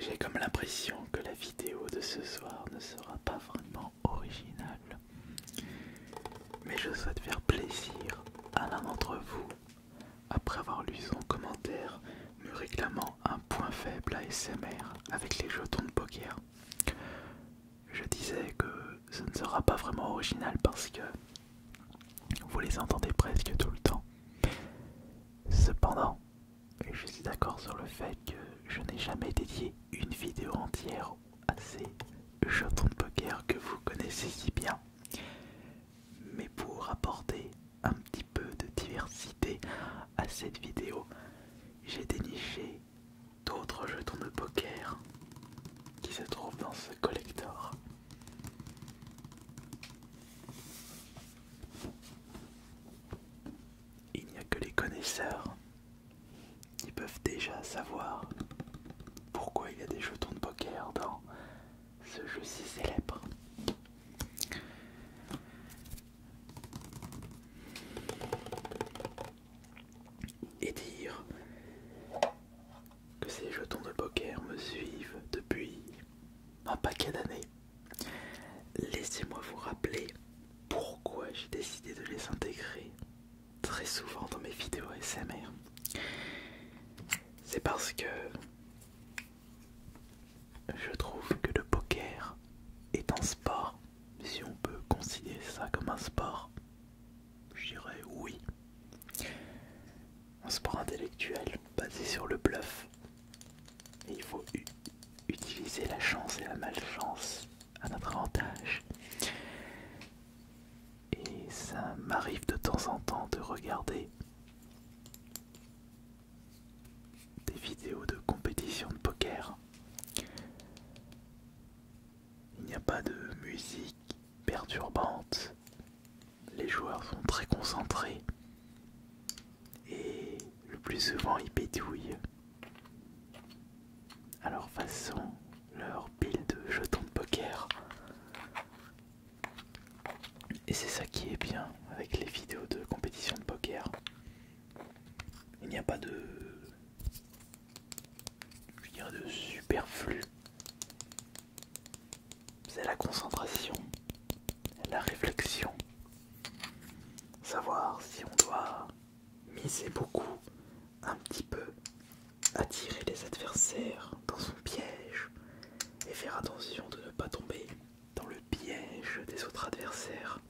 J'ai comme l'impression que la vidéo de ce soir ne sera pas vraiment originale, mais je souhaite faire plaisir à l'un d'entre vous après avoir lu son commentaire me réclamant un point faible à avec les jetons de poker je disais que ce ne sera pas vraiment original parce que vous les entendez presque tout le temps. Cependant, je suis d'accord sur le fait que je n'ai jamais dédié une vidéo entière à ces jetons de poker que vous connaissez si bien. Mais pour apporter un petit peu de diversité à cette vidéo, j'ai déniché d'autres jetons de poker qui se trouvent dans ce collector. Il n'y a que les connaisseurs qui peuvent déjà savoir pourquoi il y a des jetons de poker dans ce jeu si célèbre et dire que ces jetons de poker me suivent depuis un paquet d'années. Laissez-moi vous rappeler pourquoi j'ai décidé de les intégrer très souvent dans mes vidéos SMR. C'est parce que je trouve que le poker est un sport si on peut considérer ça comme un sport, je dirais oui. Un sport intellectuel basé sur le bluff. il faut utiliser la chance et la malchance à notre avantage. Et ça m'arrive de temps en temps de regarder des vidéos de compétition de poker il n'y a pas de musique perturbante. Les joueurs sont très concentrés. Et le plus souvent, ils pétouillent. À leur façon, leur pile de jetons de poker. Et c'est ça qui est bien avec les vidéos de compétition de poker. Il n'y a pas de rien de superflu. C'est la concentration, la réflexion, savoir si on doit miser beaucoup, un petit peu, attirer les adversaires dans son piège et faire attention de ne pas tomber dans le piège des autres adversaires.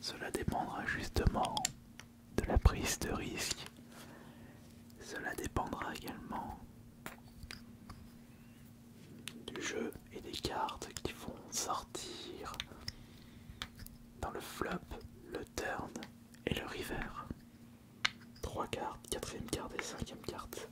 Cela dépendra justement de la prise de risque. Cela dépendra également du jeu et des cartes qui vont sortir dans le flop, le turn et le river. Trois cartes, quatrième carte et cinquième carte.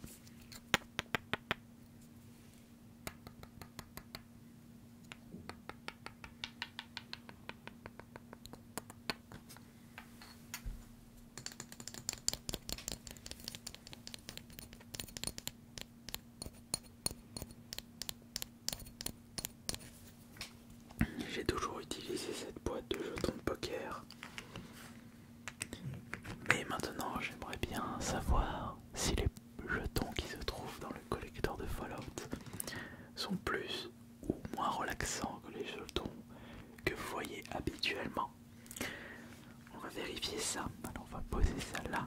J'ai toujours utilisé cette boîte de jetons de poker. Mais maintenant, j'aimerais bien savoir si les jetons qui se trouvent dans le collecteur de Fallout sont plus ou moins relaxants que les jetons que vous voyez habituellement. On va vérifier ça. on va poser ça là.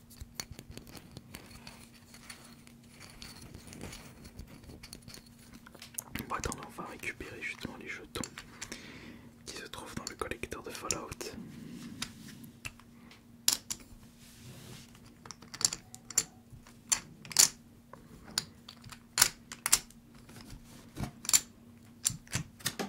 On va on va récupérer justement les jetons qui se trouvent dans le collecteur de Fallout.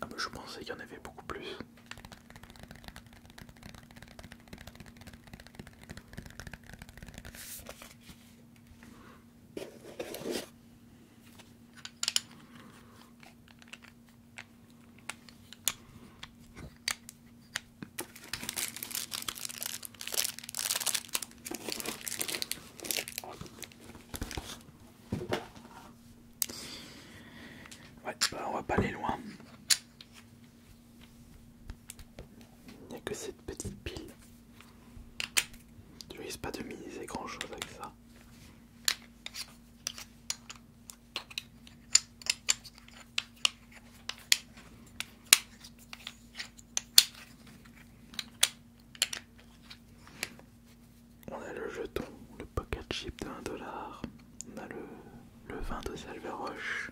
Ah bah, je pensais qu'il y en avait beaucoup plus. Bah, on va pas aller loin. Il n'y a que cette petite pile. Tu risques pas de miniser grand chose avec ça. On a le jeton, le pocket chip de 1 dollar. On a le, le vin de Roche,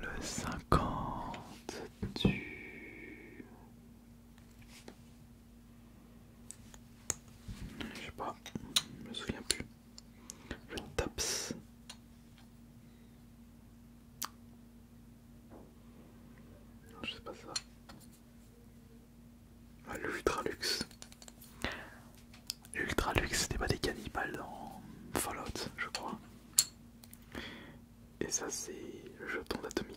Le 50 du... Je sais pas, je me souviens plus. Le Taps je sais pas ça. Ah, L'Ultralux. L'Ultralux, c'était pas des cannibales dans Fallout, je crois. Et ça, c'est le jeton d'atomique.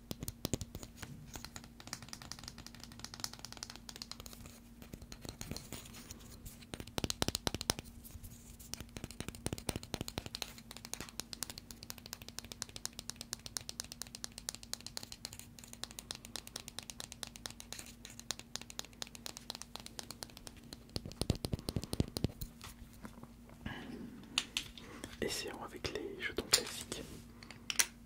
Essayons avec les jetons classiques.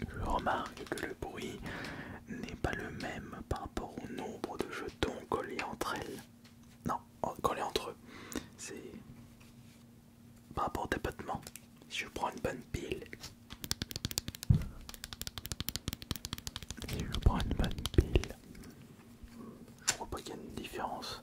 Je remarque que le bruit n'est pas le même par rapport au nombre de jetons collés entre elles. Non, oh, collés entre eux. C'est par rapport au tapotement. Si je prends une bonne pile. Si je prends une bonne pile. Je crois pas qu'il y a une différence.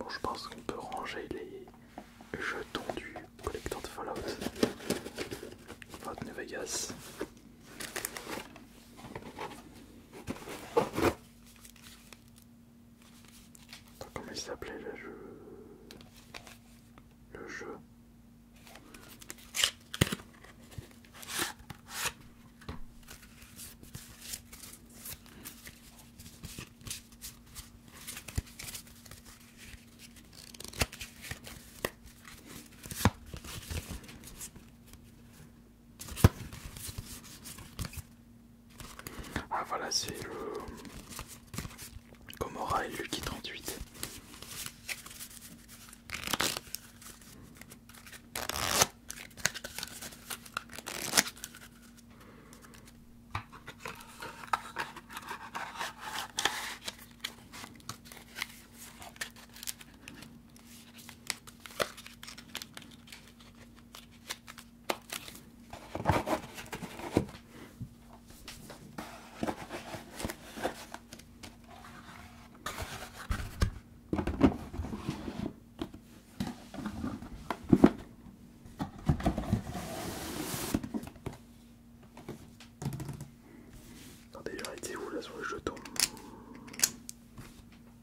Bon, je pense qu'on peut ranger les jetons du collecteur de Fallout. Vegas comment il s'appelait le jeu Le jeu ah voilà, c'est le Gomorrah et Lucky 38 déjà été où là sur le jeton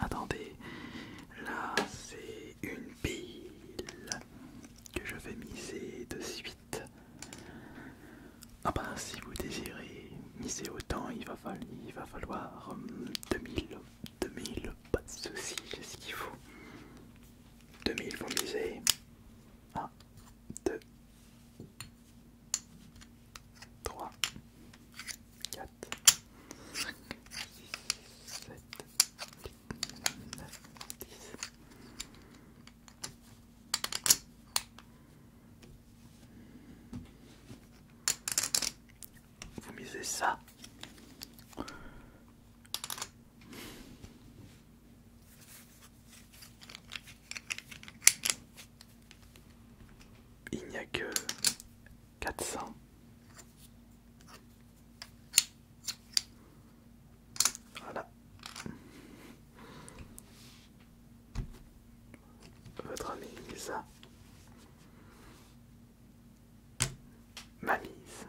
Attendez, là c'est une pile que je vais miser de suite. Ah ben, si vous désirez miser autant, il va falloir, il va falloir 2000 hum, 2000, pas de soucis, j'ai ce qu'il faut. 2000 vous miser. 1, 2, 3, 4, 5, 6, 7, 8, 9, 10 vous misez ça. Il n'y a que 400. Voilà votre amie ma mise.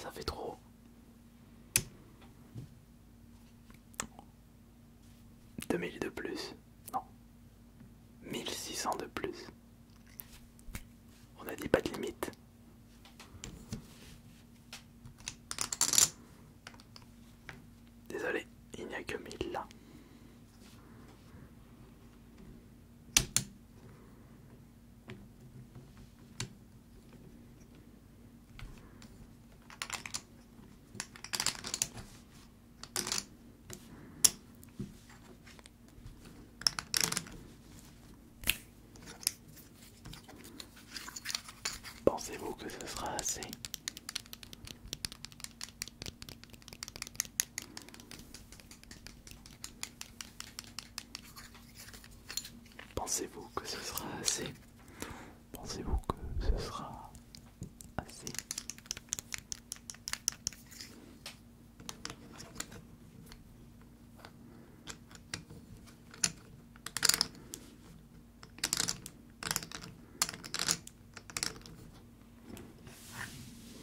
Ça fait trop. Deux de plus. Non. 1600 de plus. On a dit pas de limite. Désolé, il n'y a que mille là. Pensez-vous que ce sera assez Pensez-vous que ce sera assez Pensez-vous que ce sera assez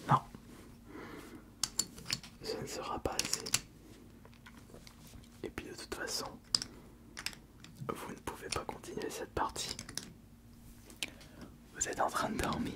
non, ce ne sera pas assez. Et puis de toute façon, vous ne pouvez pas continuer cette partie. Vous êtes en train de dormir.